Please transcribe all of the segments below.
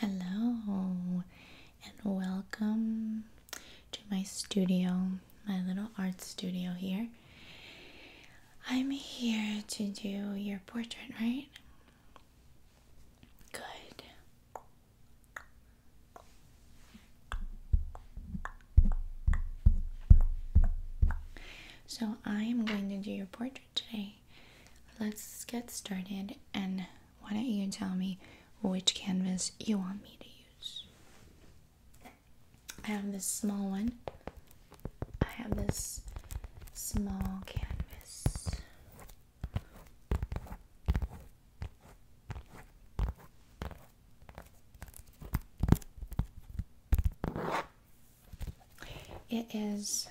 Hello and welcome to my studio, my little art studio here. I'm here to do your portrait, right? Good. So, I am going to do your portrait today. Let's get started, and why don't you tell me which canvas you want me to use? I have this small one, I have this small canvas. It is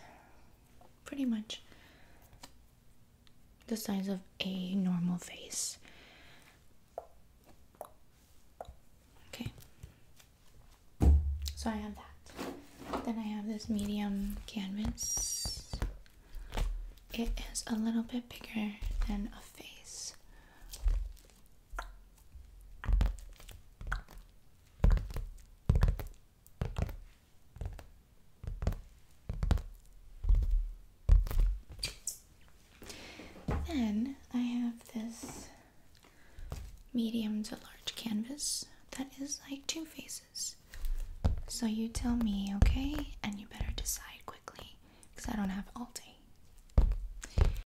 pretty much the size of a normal face. Okay, so I have that. Then I have this medium canvas it is a little bit bigger than a face. Then I have this medium to large canvas that is like two faces. So you tell me, okay? And you better decide because I don't have all day.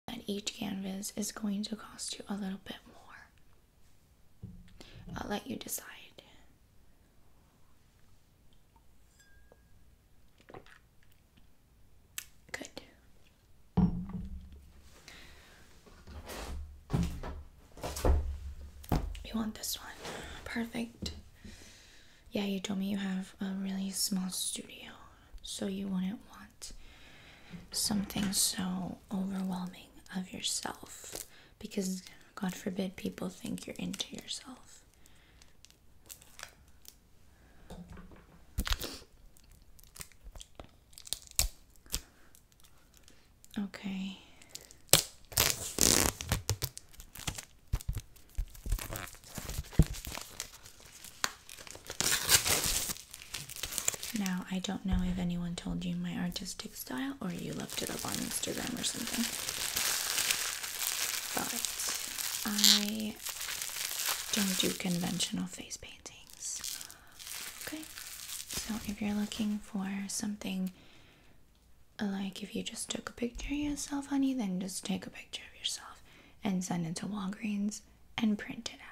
And each canvas is going to cost you a little bit more. I'll let you decide. Good. You want this one? Perfect yeah, you told me you have a really small studio, so you wouldn't want something so overwhelming of yourself because God forbid people think you're into yourself. Okay. Now, I don't know if anyone told you my artistic style or you looked it up on Instagram or something. But I don't do conventional face paintings. Okay? So, if you're looking for something like if you just took a picture of yourself, honey, then just take a picture of yourself and send it to Walgreens and print it out.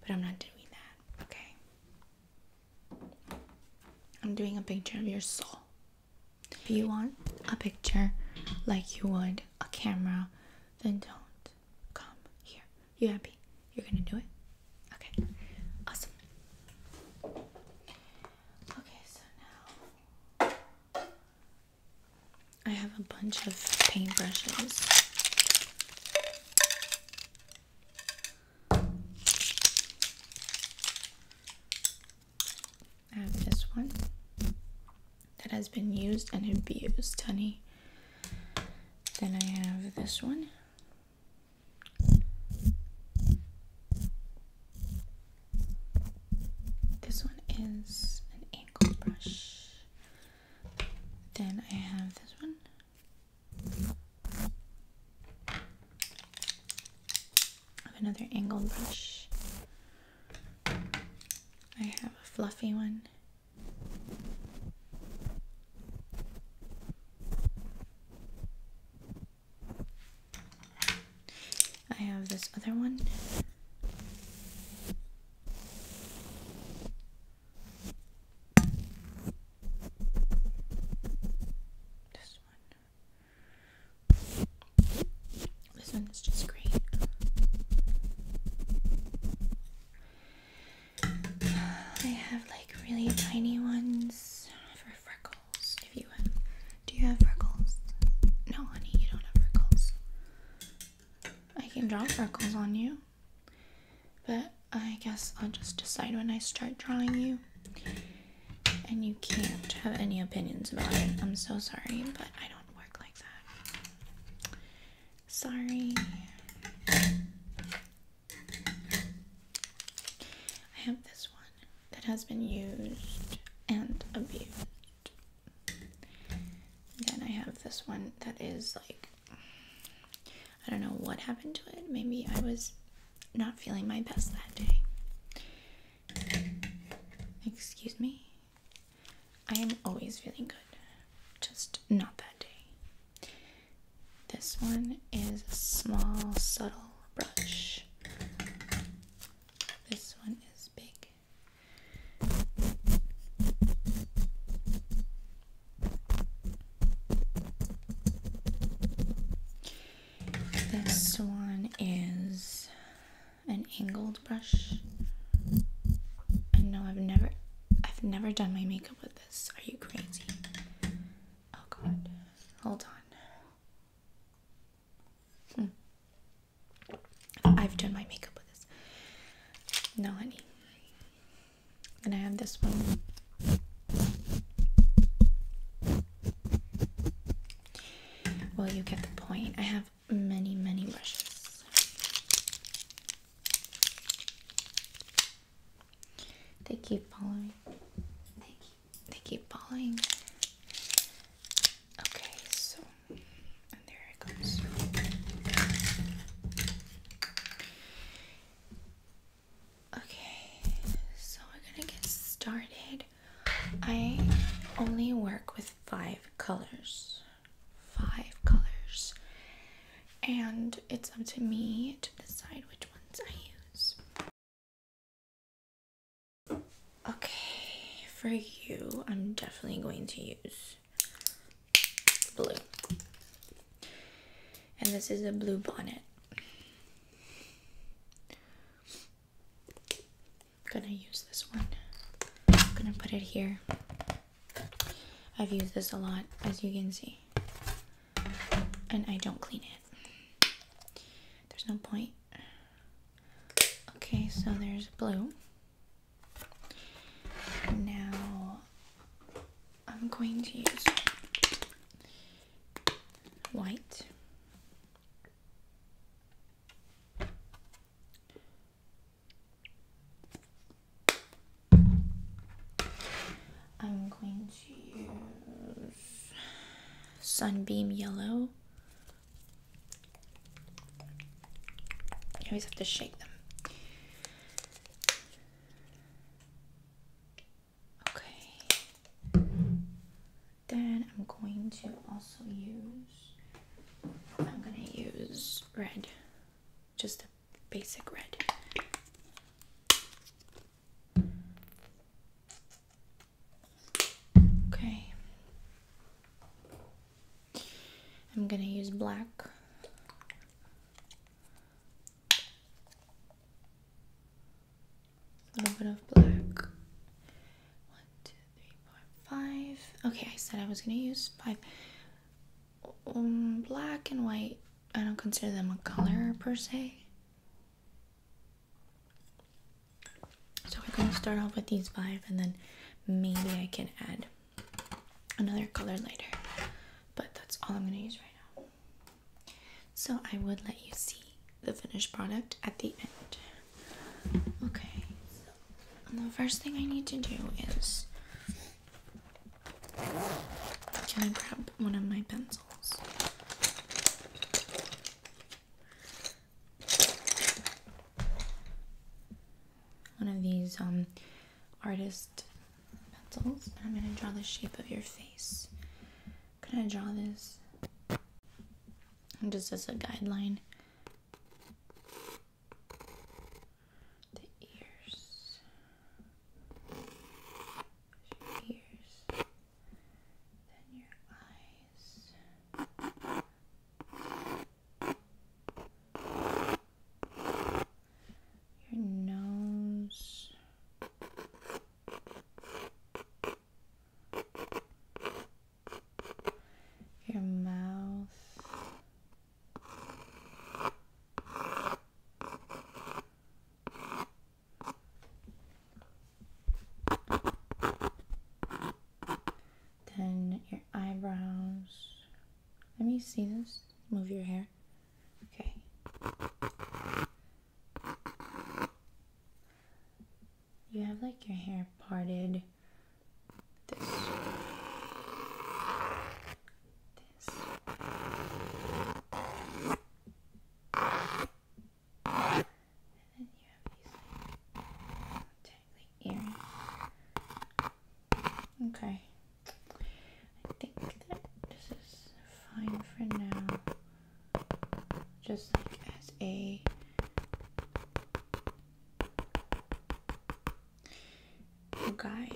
But I'm not doing that, okay? I'm doing a picture of your soul. If you want a picture like you would a camera, then don't come here. You happy? You're gonna do it? Okay. Awesome. Okay, so now I have a bunch of paintbrushes. I have this one that has been used and abused, honey. Then I have this one this one is an angle brush. Then I have this one. another angled brush. I have a fluffy one. I have this other one. This one. This one is just great. I have like really tiny ones for freckles. Do you have freckles? No, honey, you don't have freckles. I can draw freckles on you, but I guess I'll just decide when I start drawing you. And you can't have any opinions about it. I'm so sorry, but I don't work like that. Sorry. I have this one that has been used and abused. Then I have this one that is like, I don't know what happened to it. Maybe I was not feeling my best that day. Excuse me. I am always feeling good, just not that day. This one is a small, subtle brush. This one is big. This one is an angled brush. I know I've never I've never done my makeup with this. Are you crazy? Oh god. Hold on. Hmm. I've done my makeup with this. No, honey. And I have this one. Well, you get the point. I have many, many brushes. They keep following. They keep, they following. Okay, so there it goes. Okay, so we're gonna get started. I only work with five colors. Five colors. And it's up to me to decide which ones I use. Okay, for you, I'm definitely going to use blue. And this is a blue bonnet. I'm gonna use this one. I'm gonna put it here. I've used this a lot, as you can see and I don't clean it. There's no point. Okay, so there's blue. Now I'm going to use white. I'm going use sunbeam yellow. You always have to shake them. Okay. Then I'm going to also use I'm going to use red. Just a basic red. Okay. I'm going to use black. A little bit of black. One, two, three, four, five. Okay, I said I was going to use five. Um, black and white, I don't consider them a color per se. So we're gonna start off with these five and then maybe I can add another color later. But that's all I'm gonna use right now. So I would let you see the finished product at the end. Okay, the first thing I need to do is can I grab one of my pencils? One of these um artist pencils. I'm gonna draw the shape of your face. Can I draw this? Just as a guideline. The ears your ears, then your eyes. Your nose, your mouth, then your eyebrows. Let me see this. Move your hair. Okay. You have like your hair parted. This. This. And then you have these like earrings. Okay. I think that this is fine for now. Just as a guide.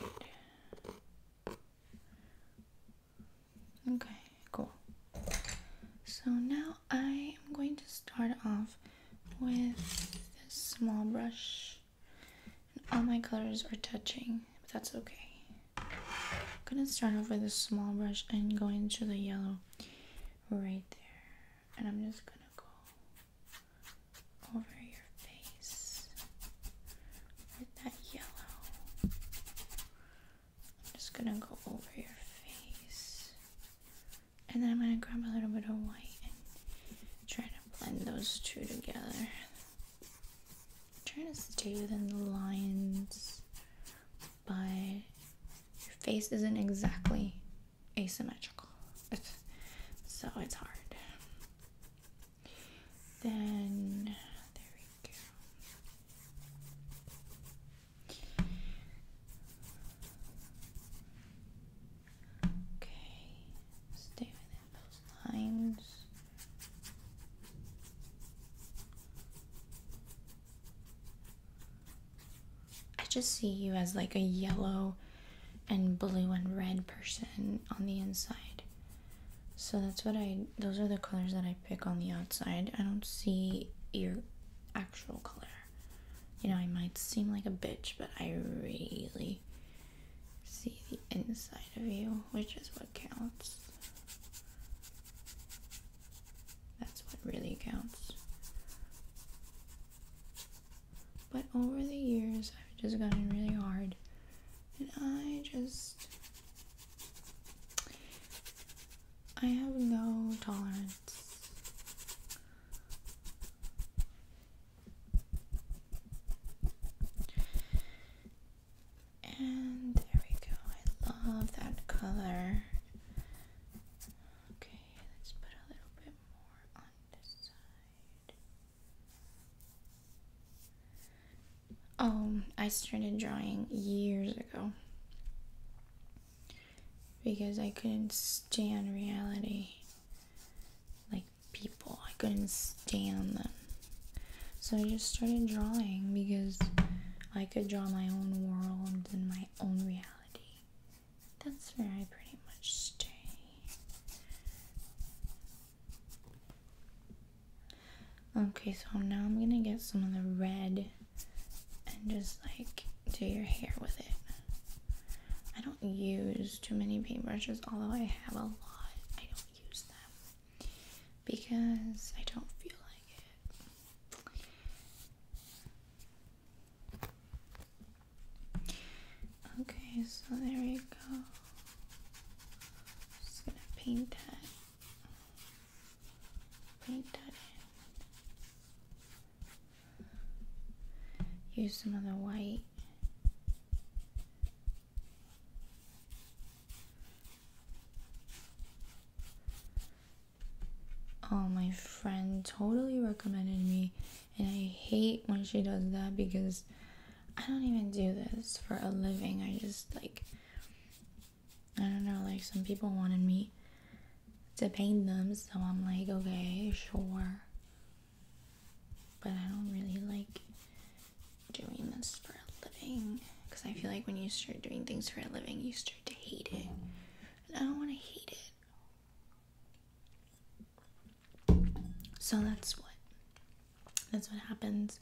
Okay, cool. So now I am going to start off with this small brush. and All my colors are touching, but that's okay. I'm gonna start off with a small brush and going to the yellow right there. And I'm just gonna go over your face that yellow. I'm just gonna go over your face. And then I'm gonna grab a little bit of white and try to blend those two together. i trying to stay within the lines, but your face isn't exactly asymmetrical. so it's hard. Then there we go. Okay, stay within those lines. I just see you as like a yellow and blue and red person on the inside. So that's what I, those are the colors that I pick on the outside. I don't see your actual color. You know, I might seem like a bitch, but I really see the inside of you, which is what counts. That's what really counts. But over the years, I've just gotten really hard. And I just I have no tolerance. And there we go. I love that color. Okay, let's put a little bit more on this side. Oh, I started drawing years ago because I couldn't stand reality. Like people, I couldn't stand them. So I just started drawing because I could draw my own world and my own reality. That's where I pretty much stay. Okay, so now I'm gonna get some of the red and just like do your hair with it. I don't use too many paintbrushes, although I have a lot. I don't use them because I don't feel like it. Okay, so there you go. Just gonna paint that. Paint that in. Use some of the white. Oh, my friend totally recommended me, and I hate when she does that because I don't even do this for a living. I just like I don't know, like some people wanted me to paint them, so I'm like, okay, sure. But I don't really like doing this for a living because I feel like when you start doing things for a living, you start to hate it. And I don't want to hate it. So that's what that's what happens.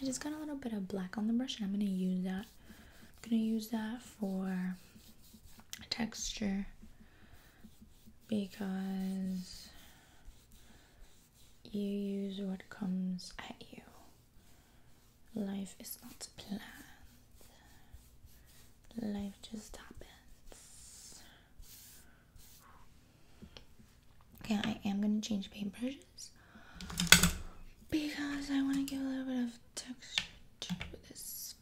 I just got a little bit of black on the brush and I'm gonna use that. I'm gonna use that for texture because you use what comes at you. Life is not planned. Life just happens. Okay, I am gonna change paint brushes because I want to give a little bit of texture to this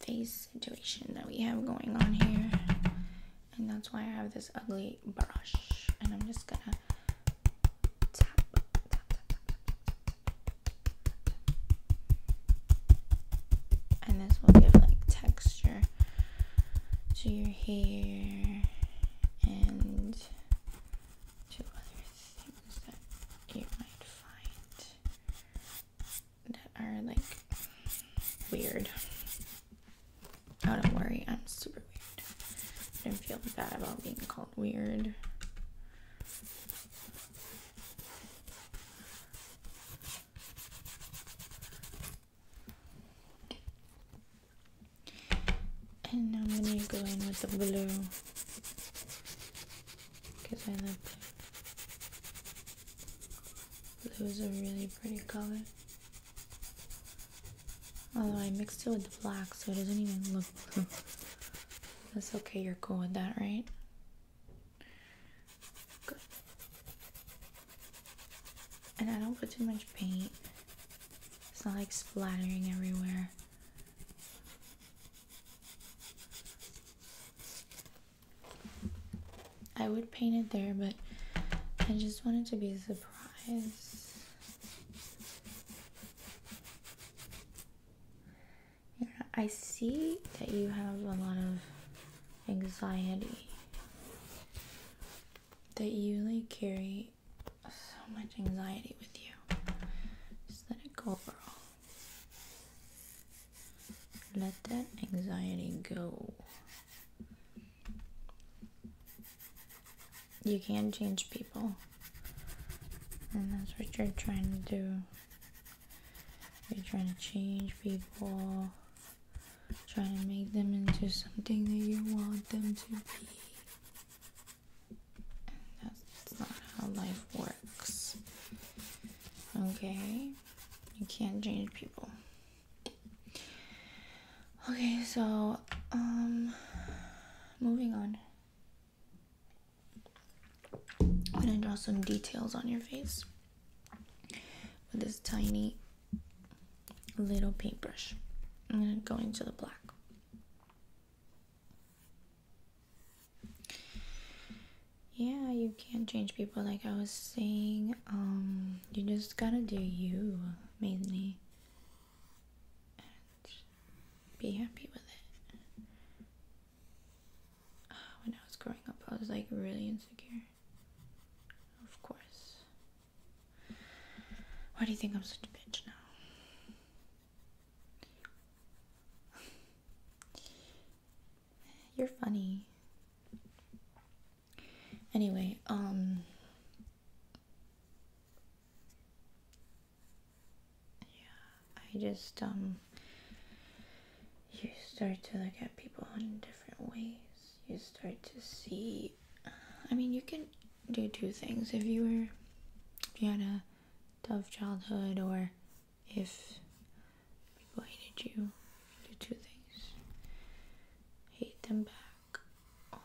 face situation that we have going on here, and that's why I have this ugly brush, and I'm just gonna tap, tap, tap, tap, tap. and this will give like texture to your hair and to other things that you might find that are like weird. Oh, don't worry, I'm super weird. I don't feel bad about being called weird. And now I'm gonna go in with the blue because I love blue. Blue is a really pretty color. Although I mixed it with the black so it doesn't even look That's okay, you're cool with that, right? Good. And I don't put too much paint. It's not like splattering everywhere. I would paint it there, but I just wanted to be a surprise. Yeah, I see that you have a lot of anxiety that you carry so much anxiety with you. Just let it go, girl. Let that anxiety go. You can change people, and that's what you're trying to do. You're trying to change people. Try to make them into something that you want them to be. And that's not how life works. Okay? You can't change people. Okay, so, um, moving on. I'm gonna draw some details on your face with this tiny little paintbrush. I'm going to go into the black. Yeah, you can't change people like I was saying. Um you just gotta do you mainly and be happy with it. Ah, when I was growing up I was like really insecure. Of course. Why do you think I'm such a bitch now? You're funny. Anyway, um Yeah, I just um you start to look at people in different ways you start to see uh, i mean you can do two things if you were if you had a tough childhood or if people hated you do two things hate them back or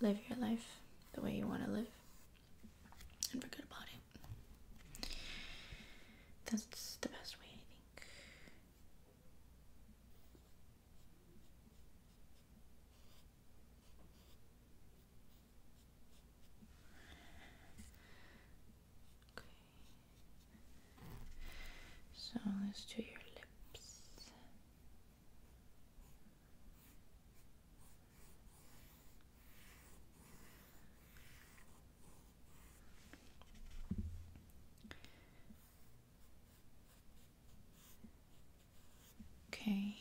live your life the way you want to live and forget about it that's the best way i think so let's do your lips. Okay.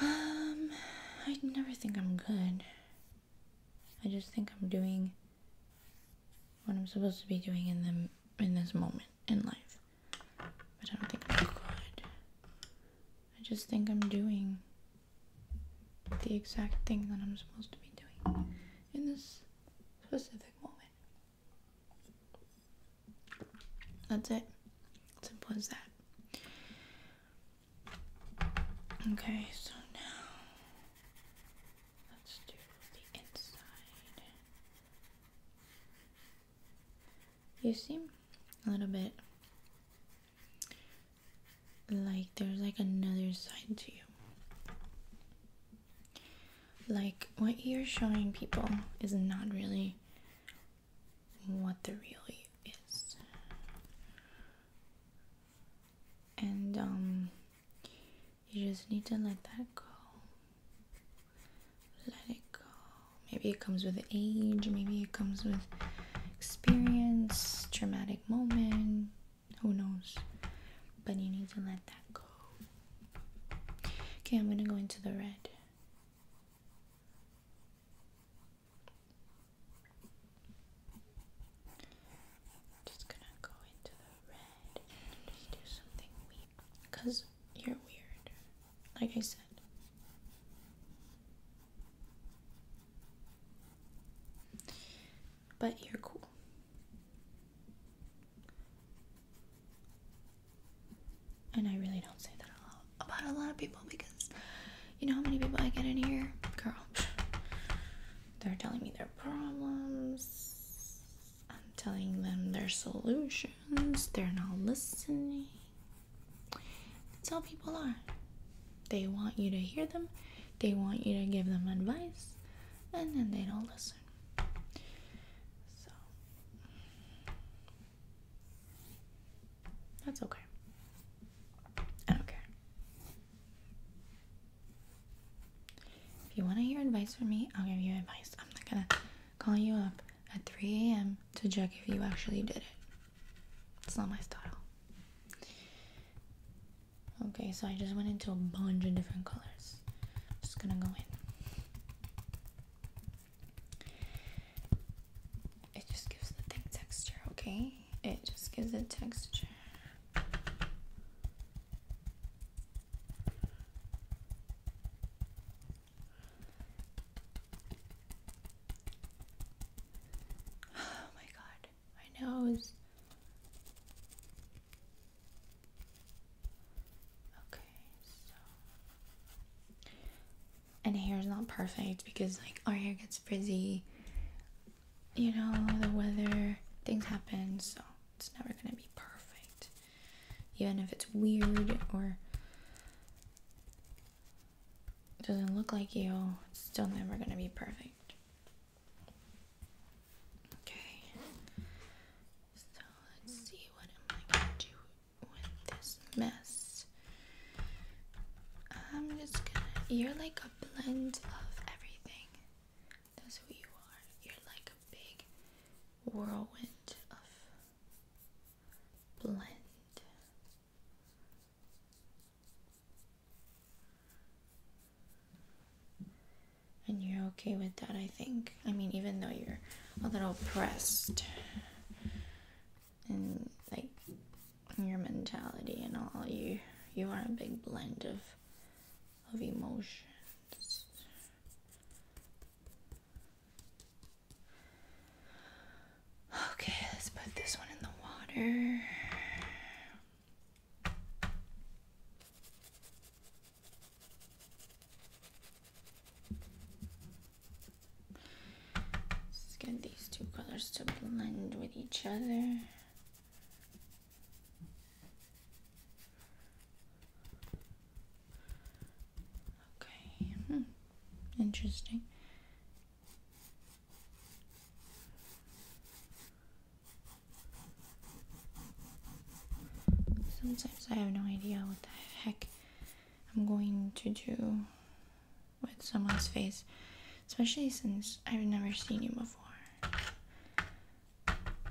Um, I never think I'm good. I just think I'm doing what I'm supposed to be doing in them in this moment in life. But I don't think I'm good. I just think I'm doing the exact thing that I'm supposed to be doing in this specific moment. That's it. Simple as that. Okay, so now let's do the inside. You seem a little bit like there's like another side to you. Like what you're showing people is not really what the really is. And um you just need to let that go. Let it go. Maybe it comes with age, maybe it comes with experience, traumatic moment who knows but you need to let that go okay i'm gonna go into the red just gonna go into the red and just do something weird because you're weird like i said but you're cool. And I really don't say that a lot about a lot of people because you know how many people I get in here? Girl, they're telling me their problems, I'm telling them their solutions, they're not listening. That's how people are. They want you to hear them, they want you to give them advice and then they don't listen. So that's okay. I don't If you want to hear advice from me, I'll give you advice. I'm not gonna call you up at 3 a.m. to check if you actually did it. It's not my style. Okay, so I just went into a bunch of different colors. Just gonna go in. It just gives the thing texture, okay? It just gives it texture. Oh my god. I know. Okay, so. And hair is not perfect because, like, our hair gets frizzy. You know, the weather, things happen, so it's never gonna be perfect. Even if it's weird or doesn't look like you, it's still never gonna be perfect. Okay, so let's see what am I gonna do with this mess. I'm just gonna. You're like a blend of everything. That's who you are. You're like a big whirlwind of blend. And you're okay with that, I think. I mean, even though you're a little pressed and like your mentality and all, you you are a big blend of of emotions. Okay, let's put this one in the water. Let's get these two colors to blend with each other. Okay, hmm, interesting. Sometimes I have no idea what the heck I'm going to do with someone's face, especially since I've never seen you before.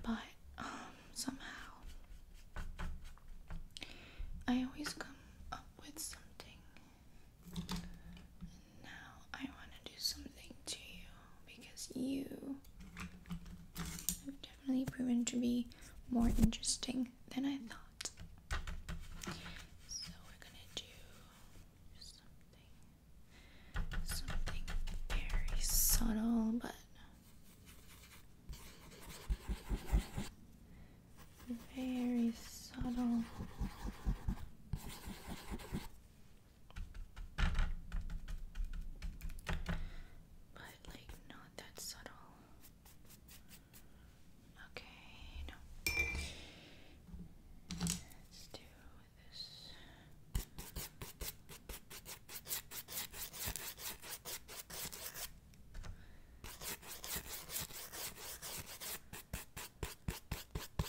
But um, somehow, I always come up with something now I want to do something to you because you have definitely proven to be more interesting than I thought. So we're gonna do something, something very subtle, but very subtle. But like not that subtle. Okay, no. Let's do this.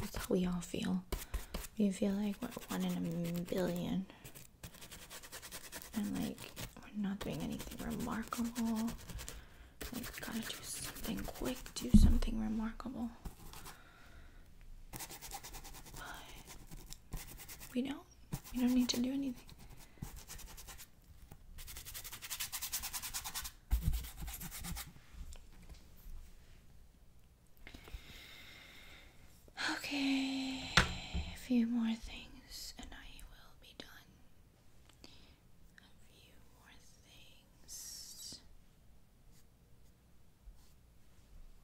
That's how we all feel. We feel like we're one in a billion. And like, we're not doing anything remarkable. Like, gotta do something quick, do something remarkable. we know now. You don't need to do anything. Okay, a few more things and I will be done. A few more things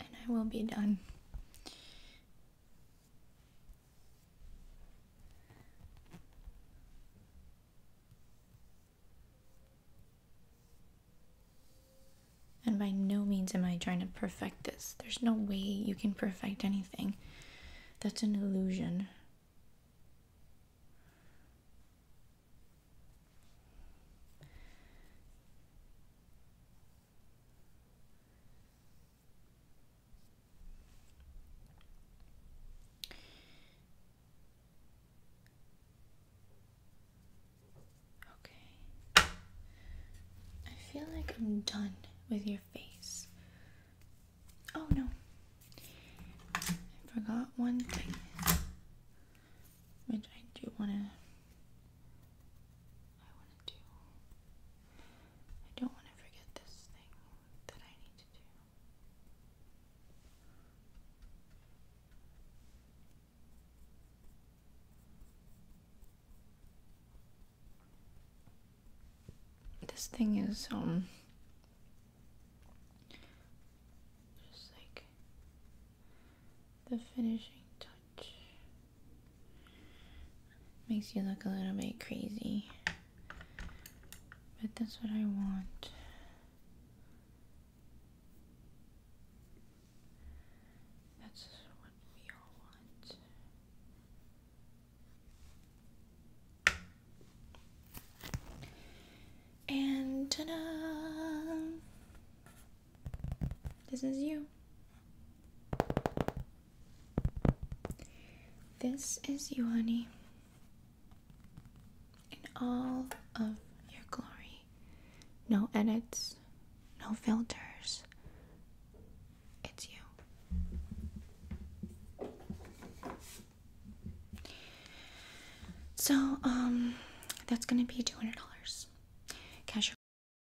and I will be done. And by no means am I trying to perfect this. There's no way you can perfect anything. That's an illusion. Okay. I feel like I'm done with your face. Oh no. I forgot one thing, which I do want to I want to do. I don't want to forget this thing that I need to do. This thing is, um, just like the finishing touch. Makes you look a little bit crazy. But that's what I want. That's what we all want. And ta da! This is you. This is you, honey, in all of your glory. No edits, no filters. It's you. So, um, that's gonna be $200. Cash